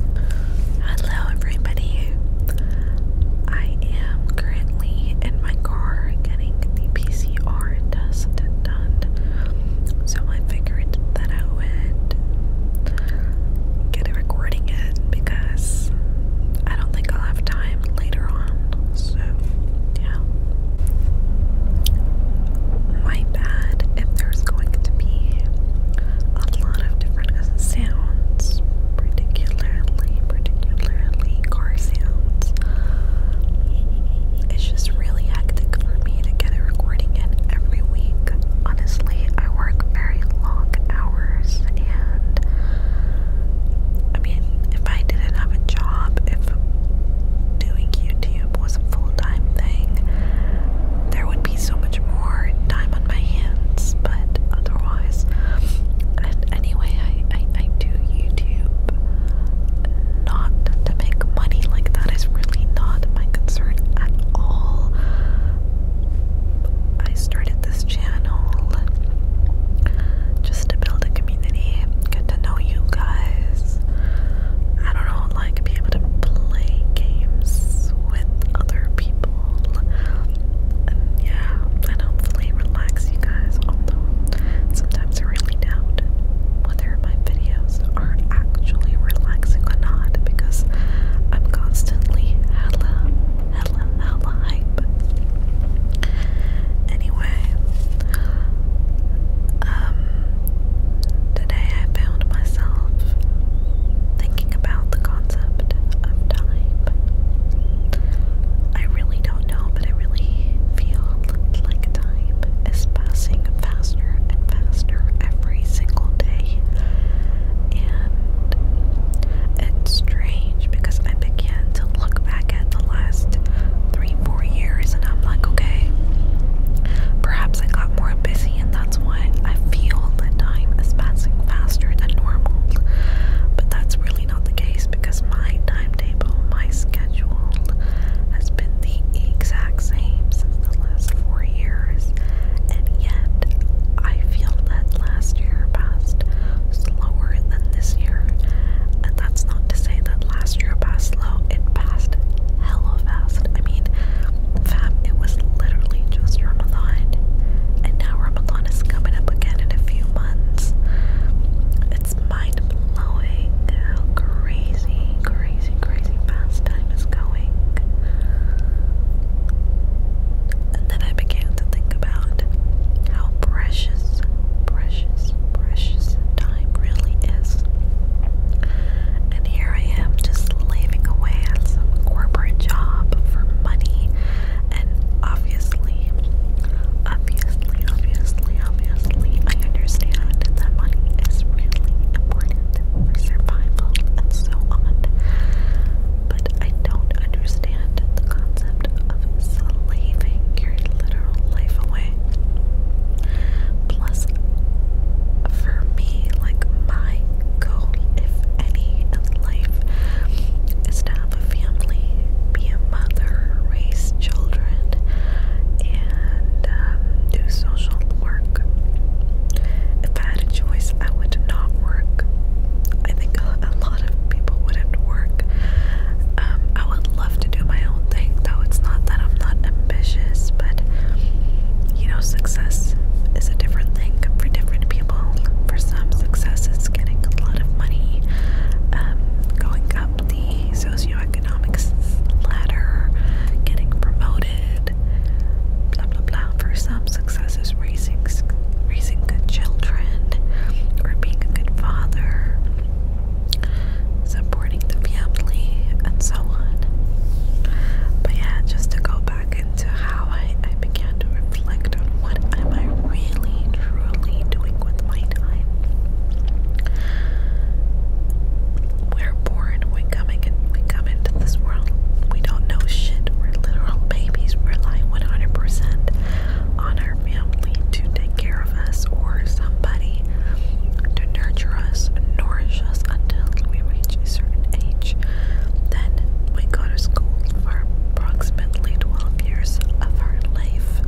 Hello, everybody. I am currently in my car getting the PCR test done, so I figured that I would get a recording in because I don't think I'll have time later on. So, yeah. My bad if there's going to be a lot of because it sounds particularly, particularly car sounds. It's just really hectic for me to get recording in every week. Honestly, I work very long hours and I mean, if I didn't have a job, if doing YouTube was a full time thing, there would so much more time on my hands, but otherwise. anyway, I, I, I do YouTube not to make money, like, that is really not my concern at all. I started this channel just to build a community, get to know you guys. I don't know, like be able to play games with other people and yeah, and hopefully relax you guys, although sometimes I really doubt whether my videos are actually relaxing or not because I'm constantly hella, hella, hella hype. Anyway, um, today I found myself thinking thinking about the concept of time. I really don't know, but I really feel like time is passing faster and faster every single day. And it's strange because I began to look back at the last three, four years and I'm like, okay, perhaps I got more busy in the that's why I feel that time is passing faster than normal. But that's really not the case because my timetable, my schedule has been the exact same since the last four years, and yet I feel that last year passed slower than this year. And that's not to say that last year passed slow, it passed hella fast. I mean, Fam, it was literally just Ramadan. And now Ramadan is coming up again in a few months. It's mind blowing how crazy, crazy, crazy fast time is going. And then I began to think about how precious, precious, precious time really is. And here I am just slaving away at some corporate job for money. And obviously, obviously, obviously, obviously, I understand that money is really important for survival and so on. But I don't understand the concept of slaving your literal life away. Plus, for me, like my goal, if any, in life is to have a family, be a mother, raise children, and um, do social work. If I had a choice, I would not work. I think a, lot of people wouldn't work. Um, I would love to do my own thing, though it's not that I'm not ambitious, but you know, success success is a different thing for different people. For some, success is getting a lot of money, um, going up the socioeconomic ladder, getting promoted, blah blah blah. For some, success is raising raising good children or being a good father, supporting the family, and so but yeah, just to go back into how I, I began to reflect on what am I really truly doing with my time. We're born, we come in, we come into this world, we don't know shit. We're literal babies, rely 100% on our family to take care of us or somebody to nurture us, nourish just until we reach a certain age. Then we go to school for approximately 12 years of our life.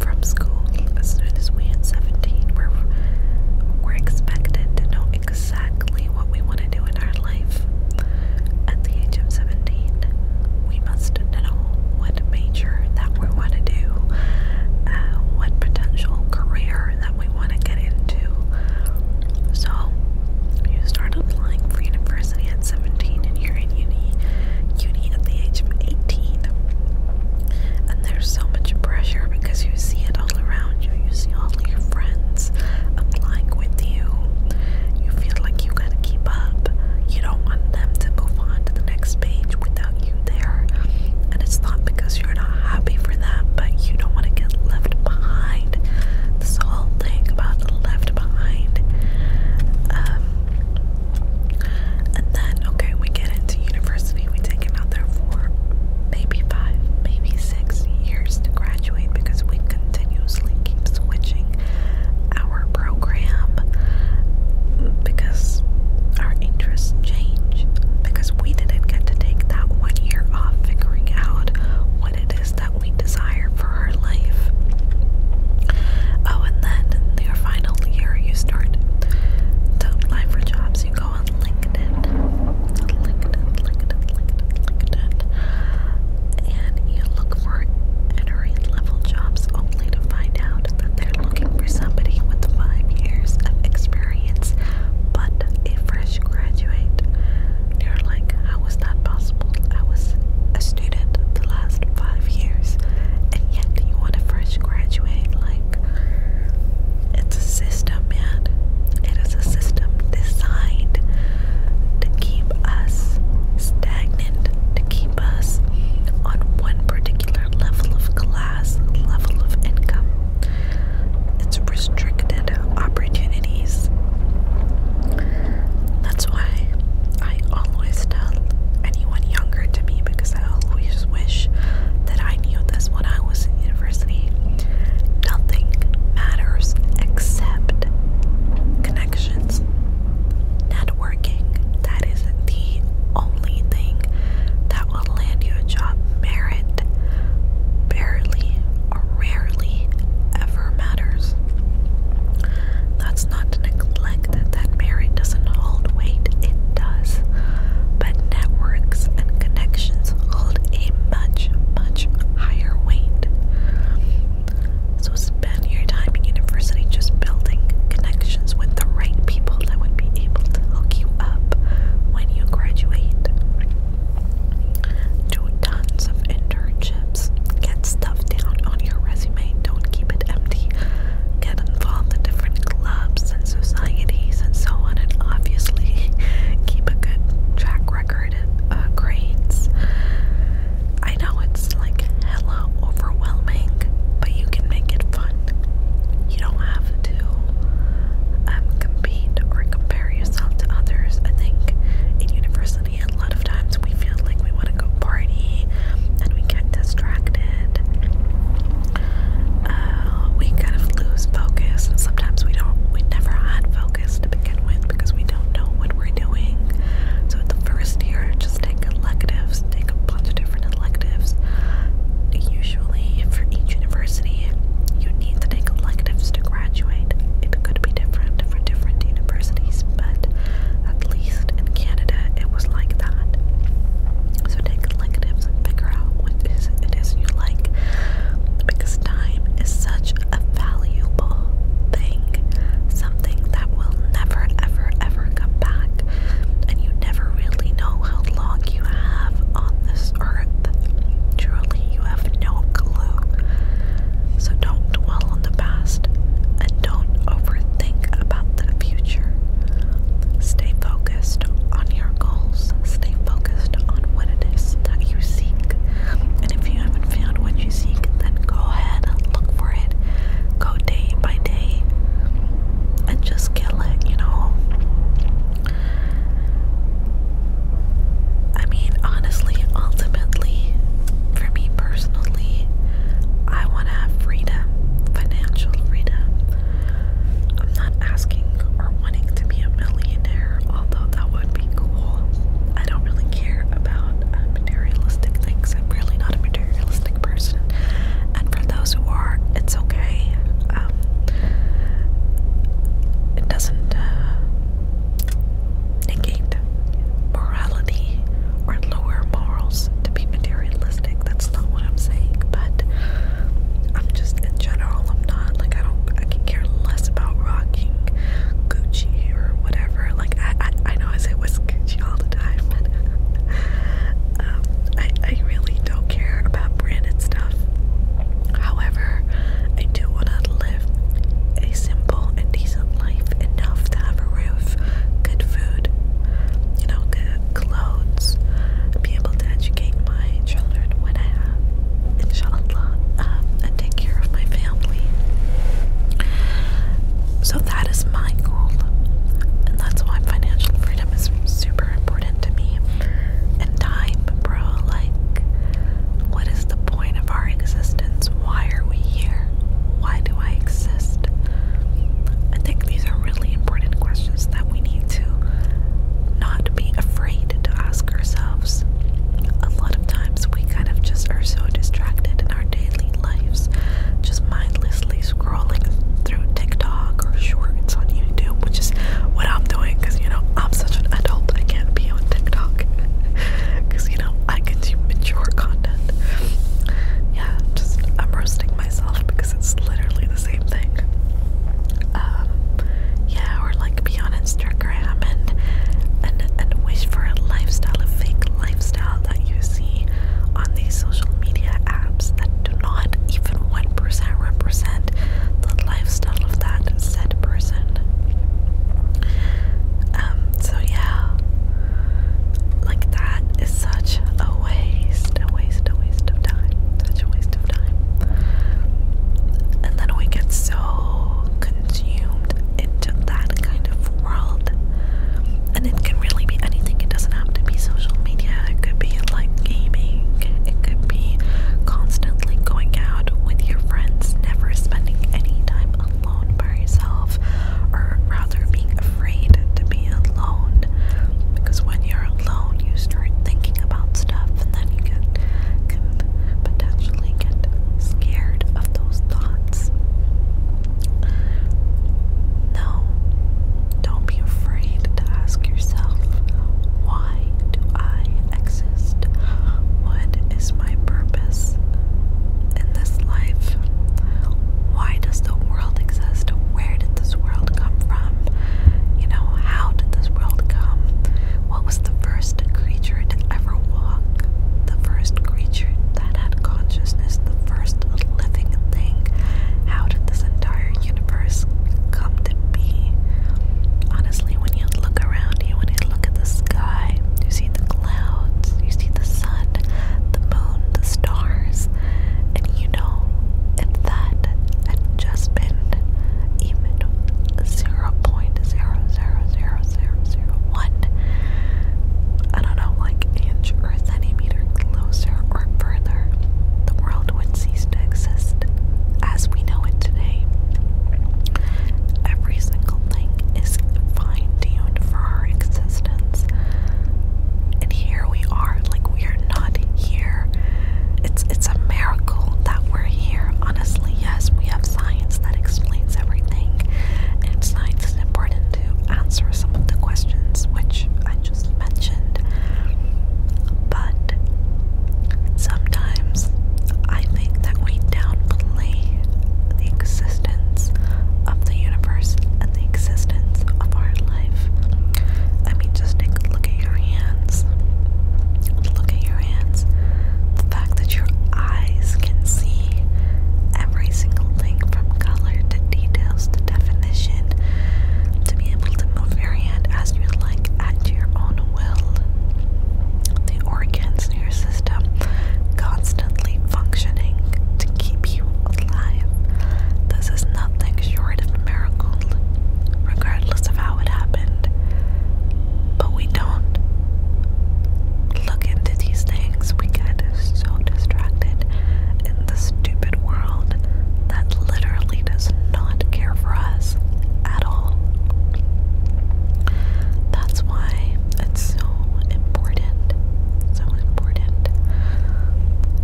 From school, as soon as we hit 17, we're, we're expected to know exactly what we want to do in our life. At the age of 17, we must know what major that we want to do, uh, what potential career that we want to get into. So, you start applying for university at 17 and you're in uni, uni at the age of 18. And there's so much pressure because you see it all around you. You see all your friends applying with you. You feel like you gotta keep up. You don't want them to move on to the next page without you there. And it's not because you're not happy for that, but you don't want to get left behind. This whole thing about left behind. Um, and then, okay, we get into university. We take out there for maybe five, maybe six years to graduate because we continuously keep switching our program because our interests change, because we didn't get to take that one year off figuring out what it is that we desire for our life. Oh, and then your final year, you start to apply for jobs. You go on LinkedIn, LinkedIn, LinkedIn, LinkedIn, LinkedIn, and you look for entry level jobs only to find out that they're looking for somebody with five years of experience, but a fresh graduate. They're like, how is that possible? I was a student the last five years, and yet you want a fresh graduate? Like, it's a system, man. It is a system designed to keep us stagnant, to keep us on one particular level of class, level of income, it's restricted opportunities. That's why I always tell anyone younger to me because I always wish that I knew this when I was in university. Nothing matters except connections. Networking, that is the only thing that will land you a job merit barely or rarely ever matters. That's not to neglect that that merit doesn't hold weight, it does. But networks and connections hold a much, much higher weight. So spend your time in university just building connections with the right people that would be able to hook you up when you graduate. Do tons of internships. Get stuff down on your resume. Don't keep it empty. Get involved in different clubs and societies and so on, and obviously keep a good track record of uh, grades. I know it's like hella overwhelming, but you can make it fun. You don't have to um, compete or compare yourself to others. I think in university, a lot of times we feel like we want to go party and we get distracted. Uh, we kind of lose focus, and sometimes we don't, we never had focus to begin with because we don't know what we're doing. So, at the first year, just take electives, take a bunch of different electives usually for each university you need to take electives to graduate. It could be different for different universities, but at least in Canada it was like that. So take electives figure out what is it is you like because time is such a valuable thing, something that will never ever ever come back. And you never really know how long you have on this earth. Truly, you have no clue. So don't dwell on the past and don't overthink about the future. Stay focused on your goals. Stay focused on what it is that you seek. And if you haven't found what you seek, then go ahead and look for it. Go day by day and just kill it, you know. I mean, honestly, ultimately, for me personally, I want to have freedom, financial freedom. I'm not asking or wanting to be a millionaire, although that would be cool. I don't really care about uh, materialistic things. I'm really not a materialistic person. And for those who are, it's okay. Um, it doesn't uh, negate morality or lower morals to be materialistic. That's not what I'm saying. But I'm just in general. I'm not like I don't. I can care less about rocking Gucci or whatever. Like I, I, know I say was Gucci all the time, um, I, really don't care about branded stuff. However, I do want to live a simple and decent life enough to have a roof, good food, you know, good clothes, be able to educate my children when I have, inshallah, um, and take care of my family. So that is my goal, and that's why financial free freedom is super important to me. And time, bro, like, what is the point of our existence? Why are we here? Why do I exist? I think these are really important questions that we need to not be afraid to ask ourselves. A lot of times we kind of just are so distracted in our daily lives, just mindlessly scrolling through TikTok or shorts on YouTube, which is what I'm doing because you know I'm such an adult, I can't be on TikTok because you know I consume mature content. Yeah, just I'm roasting myself because it's literally the same thing. Um, yeah, or like be on Instagram and and and wish for a lifestyle, a fake lifestyle that you see on these social media apps that do not even 1% represent the lifestyle of that said person. Um, so yeah, like that is such a waste, a waste, a waste of time, such a waste of time. And then we get so consumed into that kind of world and it can really be anything. It doesn't have to be social media. It could be like gaming. It could be constantly going out with your friends, never spending any time alone by yourself, or rather being afraid to be alone. Because when you're alone, you start thinking about stuff, and then you can, potentially get scared of those thoughts. No, don't be afraid to ask yourself why do I exist? What is my purpose in this life? Why does the world exist? Where did this world come from? You know, how did this world come? What was the first creature to ever walk? The first creature that consciousness the first living thing? How did this entire universe come to be? Honestly, when you look around you, when you look at the sky, you see the clouds, you see the sun, the moon, the stars, and you know if that had even 0.00001, I don't know, like inch or centimeter closer or further, the world would cease to exist as we know it today. Every single thing is fine tuned for our existence. And here we are, like we are not here. It's it's a miracle that we're here. Honestly, yes, we have science that explains everything. And science is important to answer some of the questions which I just mentioned. But sometimes I think that we downplay the existence of the universe and the existence of our life. I mean, just take a look at your hands. Look at your hands. The fact that your eyes can see every single thing from color to details the definition to be able to move your hand as you like at your own will. The organs in your system constantly functioning to keep you alive. This is nothing short of a miracle, regardless of how it happened. But we don't look into these things, we get so distracted the stupid world that literally does not care for us at all. That's why it's so important, so important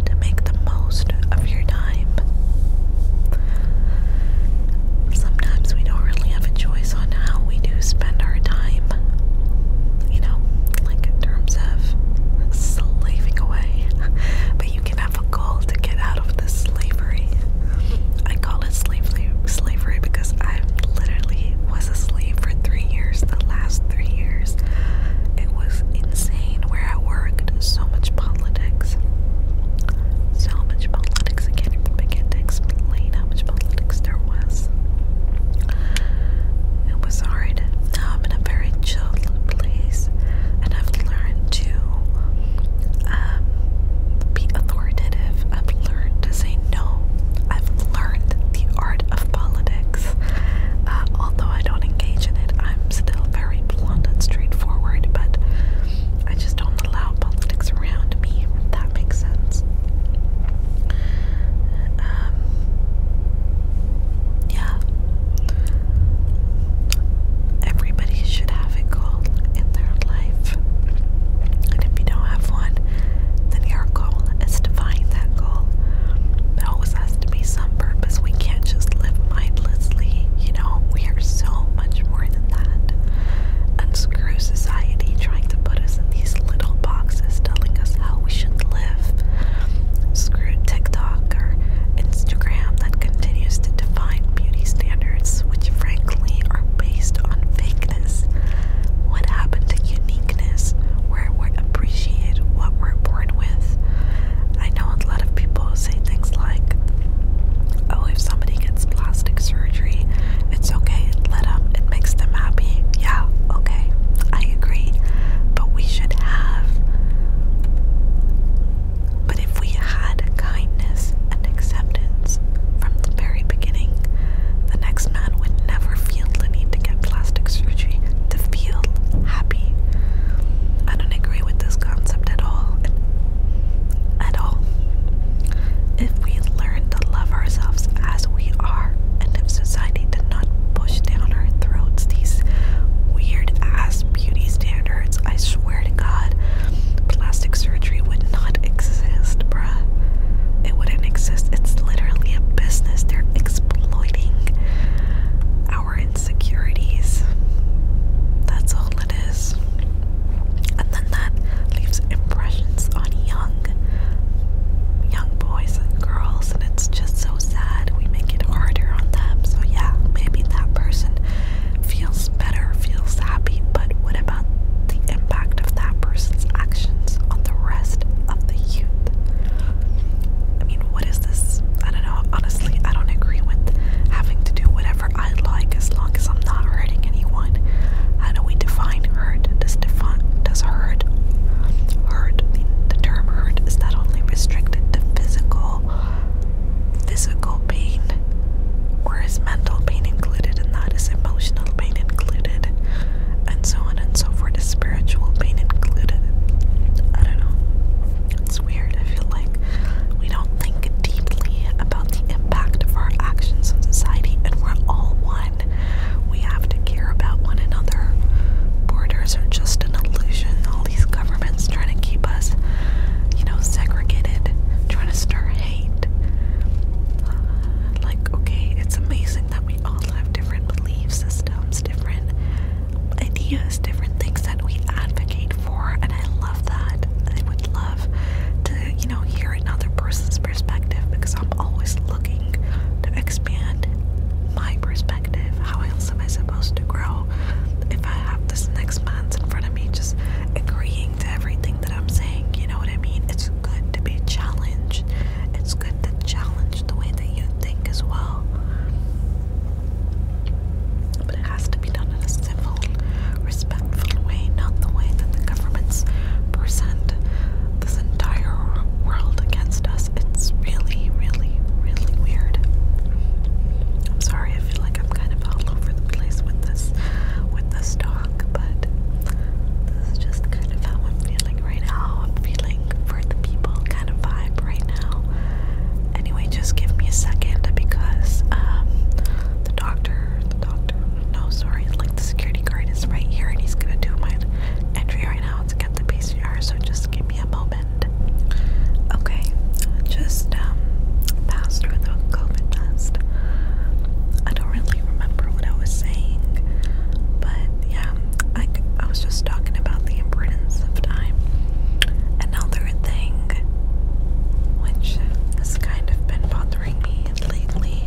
to make the most of your time. Sometimes we don't really have a choice on how we do spend our time you know, like in terms of slaving away. But you can have a goal to get out of this slavery. I call it slavery, slavery because I literally was a slave for three years. The last three years, it was insane where I worked. So much politics, so much politics. I can't even begin to explain how much politics there was. It was hard. Now I'm in a very chilled place, and I've learned to um, be authoritative. I've learned to say no. I've learned the art of politics. Uh, although I don't engage in it, I'm still very blunt and straightforward, but I just don't allow politics around me, that makes sense. Um, yeah. Everybody should have a goal in their life. And if you don't have one, then your goal is to find that goal. There always has to be some purpose. We can't just live mindlessly, you know? We are so much more than that. Unscrew society trying to put us in these little boxes telling us how we should live live. TikTok or Instagram that continues to define beauty standards, which frankly are based on fakeness. What happened to uniqueness, where we appreciate what we're born with? I know a lot of people say things like, oh, if somebody gets plastic surgery, it's okay, let them makes them happy. Yeah, okay, I agree. But we should have. But if we had kindness and acceptance from the very beginning, the next man would never feel the need to get plastic surgery to feel happy. I don't agree with this concept at all. At all. If we learn to love ourselves as we are, and if society did not push down our throats these weird ass beauty standards, I swear to God, plastic surgery would not exist, bruh. It wouldn't exist. It's literally a business. They're exploiting our insecurities. That's all it is. And then that leaves impressions on young young boys and girls and it's just so sad we make it harder on them. So yeah, maybe that person feels better, feels happy, but what about the impact of that person's actions on the rest of the youth? I mean, what is this? I don't know. Honestly, I don't agree with having to do whatever I like as long as I'm not hurting anyone. How do we define define hurt? Does define does hurt hurt the term hurt is not only restricted to physical physical pain or is mental pain included in that? Is emotional pain included? And so on and so forth. Is spiritual pain included? I don't know. It's weird. I feel like we don't think deeply about the impact of our actions on society and we're all one. We have to care about one another. Borders are just an illusion. All these governments trying to keep us, you know, segregated, trying to stir hate. like, okay, it's amazing that we all have different belief systems, different ideas, different things that we advocate for, and I love that. I would love to, you know, hear another person's perspective because I'm always looking to expand my perspective. How else am I supposed to grow if I have this next month in front of me just agreeing to everything that I'm saying? You know what I mean? It's good to be challenged. It's good to challenge the way that you think as well. But it has to be done in a civil, respectful way, not the way that the governments present this entire world against us. It's really, really, really weird. I'm sorry, I feel like I'm kind of all over the place with this with this talk, but this is just kind of how I'm feeling right now. I'm feeling for the people kind of vibe right now. Anyway, just give me a second because um, the doctor the doctor no sorry like the security guard is right here and he's gonna do my entry right now to get the PCR, so just give me a moment. Okay, just um, passed through the COVID test. I don't really remember what I was saying, but yeah, I, I was just talking about the importance of time. Another thing which has kind of been bothering me lately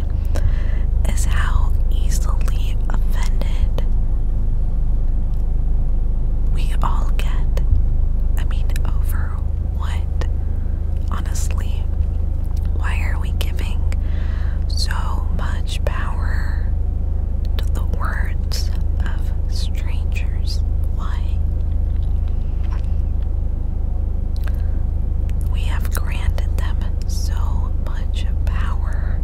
is how easily offended we all get. I mean, over what? Honestly, why are we giving so much power to the words of strangers? Why? We have granted them so much much power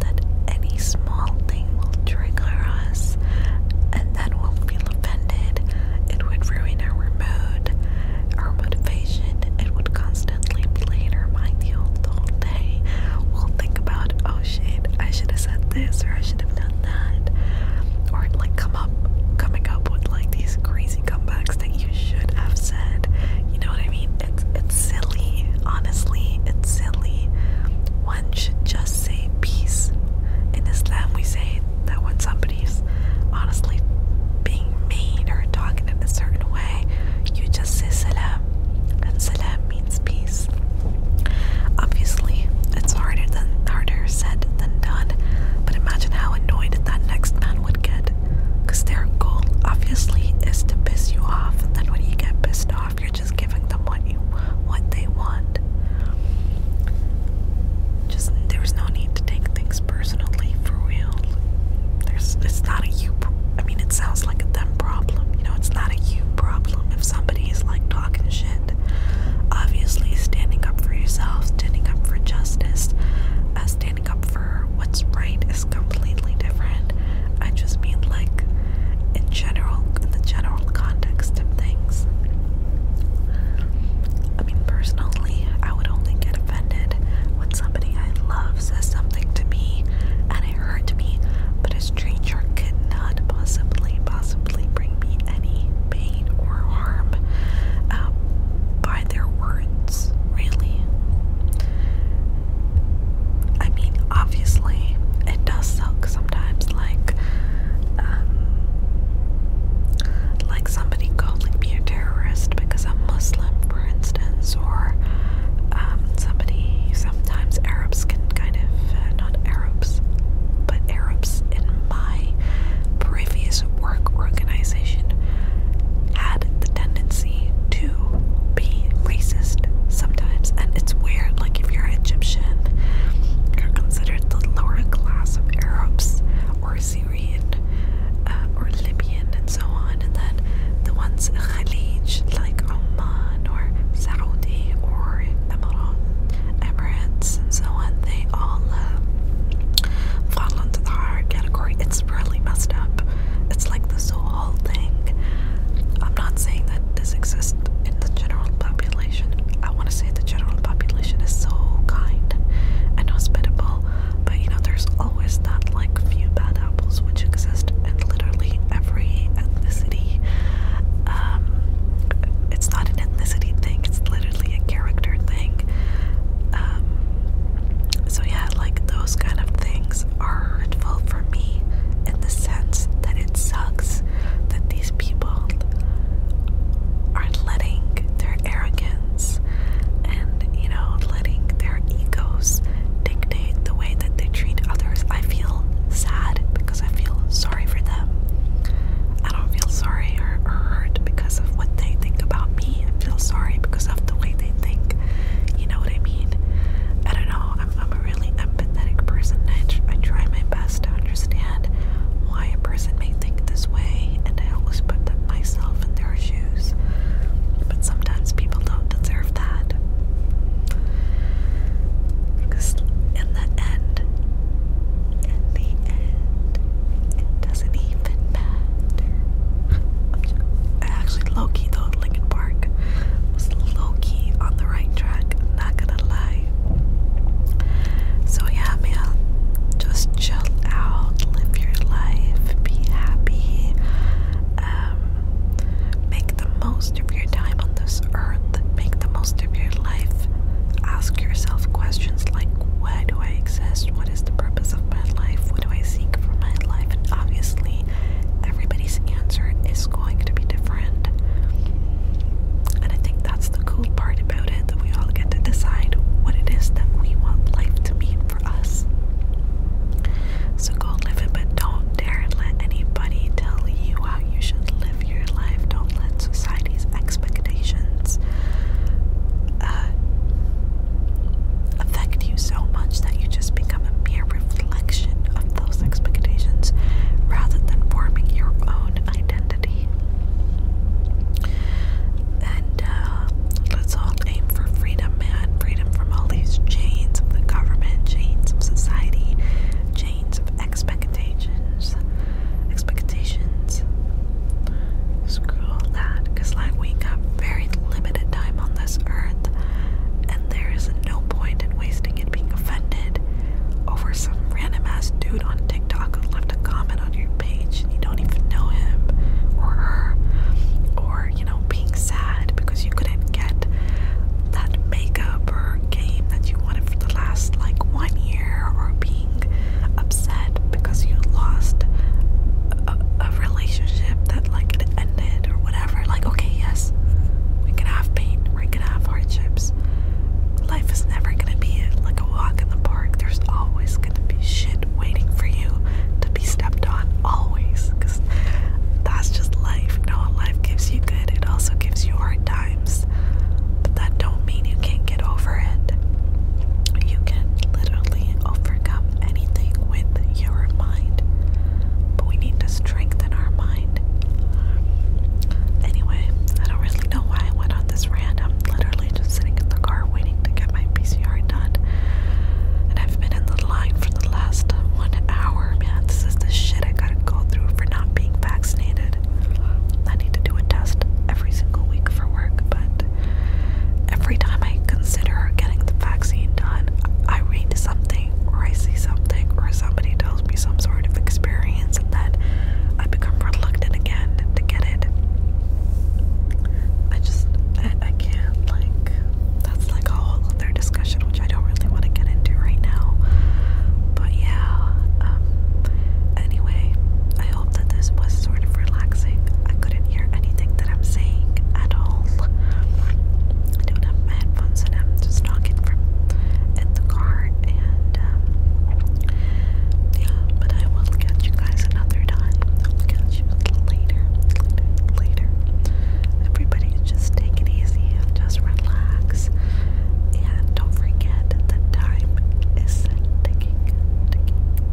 that any small thing will trigger us and then we'll feel offended. It would ruin our mood, our motivation. It would constantly play our mind the whole day. We'll think about, oh shit, I should have said this or I should have done that. Or like come up coming up with like these crazy comebacks that you should have said. You know what I mean? it's it's silly. Honestly, it's silly. One should just say peace. In Islam, we say that when somebody's honestly being mean or talking in a certain way, you just say salam, and salam means peace. Obviously, it's harder than harder said than done. But imagine how annoyed that next man would get because their goal, obviously, is to piss you off. And then when you get pissed off, you're just giving them what you what they want. Just there's no need to take things personally for real. There's it's not a you. I mean, it sounds like a them problem. You know, it's not a you problem if somebody is like talking shit. Obviously, standing up for yourself, standing up for justice, uh, standing up for what's right is completely different. I just mean like in general, in the general context of things. I mean, personally, I would only get offended when somebody I love says something to me and it hurt me, but a stranger could not possibly, possibly bring me any pain or harm um, by their words, really. I mean, obviously, it does suck sometimes. Like, um, like somebody calling me a terrorist because I'm Muslim, for instance, or um, somebody. Sometimes Arabs can kind of uh, not Arabs, but Arabs in my previous work organization had the tendency to be racist sometimes. And it's weird, like, if you're Egyptian, you're considered the lower class of Arabs or Syrian uh, or Libyan and so on. And then the ones in like Oman or Saudi or Emirates and so on, they all uh, fall into the hard category. It's really messed up. It's like this whole thing. I'm not saying that this exists in the general population. I want to say the general population is so kind and hospitable, but you know, there's always that like few bad apples which exist in literally every ethnicity. Um, it's not an ethnicity thing, it's literally a character thing. Um, so, yeah yeah, like those kind of things are hurtful for me in the sense that it sucks that these people are letting their arrogance and, you know, letting their egos dictate the way that they treat others. I feel sad because I feel sorry for them. I don't feel sorry or, or hurt because of what they think about me. I feel sorry because of the way way think. You know what I mean? I don't know. I'm, a really empathetic person. I, I try my best to understand why a person may think this way, and I always put myself in their shoes. But sometimes people don't deserve that. Because in the end, in the end, it doesn't even matter. I actually low key though, Lincoln Park was low key on the right track. Not gonna lie. So yeah, man, just chill out, live your life, be happy. Um, make the most of your time on this earth. Make the most of your life. Ask yourself questions like why do I exist? What is the purpose of my life? What do I seek for my life? And obviously, everybody's answer is going to be different. And I think that's the cool part about it that we all get to decide what it is that we want life to mean for us. So go live it, but don't dare let anybody tell you how you should live your life. Don't let society's expectations uh, affect you so much that you just become a mere reflection of those expectations rather than forming your own identity. And uh, let's all aim for freedom, man. Freedom from all these chains of the government, chains of society, chains of expectations. Expectations scroll that because like we got very limited time on this earth and there is no point in wasting it being offended over some random ass dude on TikTok and left a comment on your page and you don't even know him or her or you know being sad because you couldn't get that makeup or game that you wanted for the last like one year or be being upset because you lost a, relationship that like it ended or whatever. Like, okay, yes, we can have pain, we can have hardships. Life is never gonna be like a walk in the park. There's always gonna be shit waiting for you to be stepped on, always. Because that's just life. You know, life gives you good, it also gives you hard times. But that don't mean you can't get over it. You can literally overcome anything with your mind, but we need to strengthen our mind. Anyway, I don't really know why I went on this rant. I'm literally just sitting in the car waiting to get my PCR done, and I've been in the line for the last one hour. Man, this is the shit I gotta go through for not being vaccinated. I need to do a test every single week for work, but Every time I consider getting the vaccine done, I read something or I see something or somebody tells me some sort of experience, and then I become reluctant again to get it. I just, I, can't, like, that's like a whole other discussion, which I don't really want to get into right now. But yeah, um, anyway, hope that this was sort of relaxing. I couldn't hear anything that I'm saying at all. I don't have my headphones and I'm just talking from in the car and um, yeah, but I will catch you guys another time. I'll catch you later. Later. Everybody just take it easy just relax. And don't forget that time is ticking, ticking,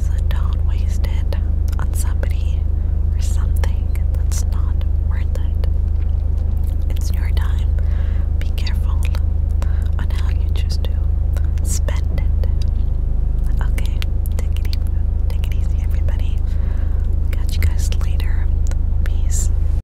so don't waste it on somebody or something that's not worth it. It's your time. Be careful on how you choose to spend it. Okay, take it easy, take it easy everybody. Catch you guys later. Peace.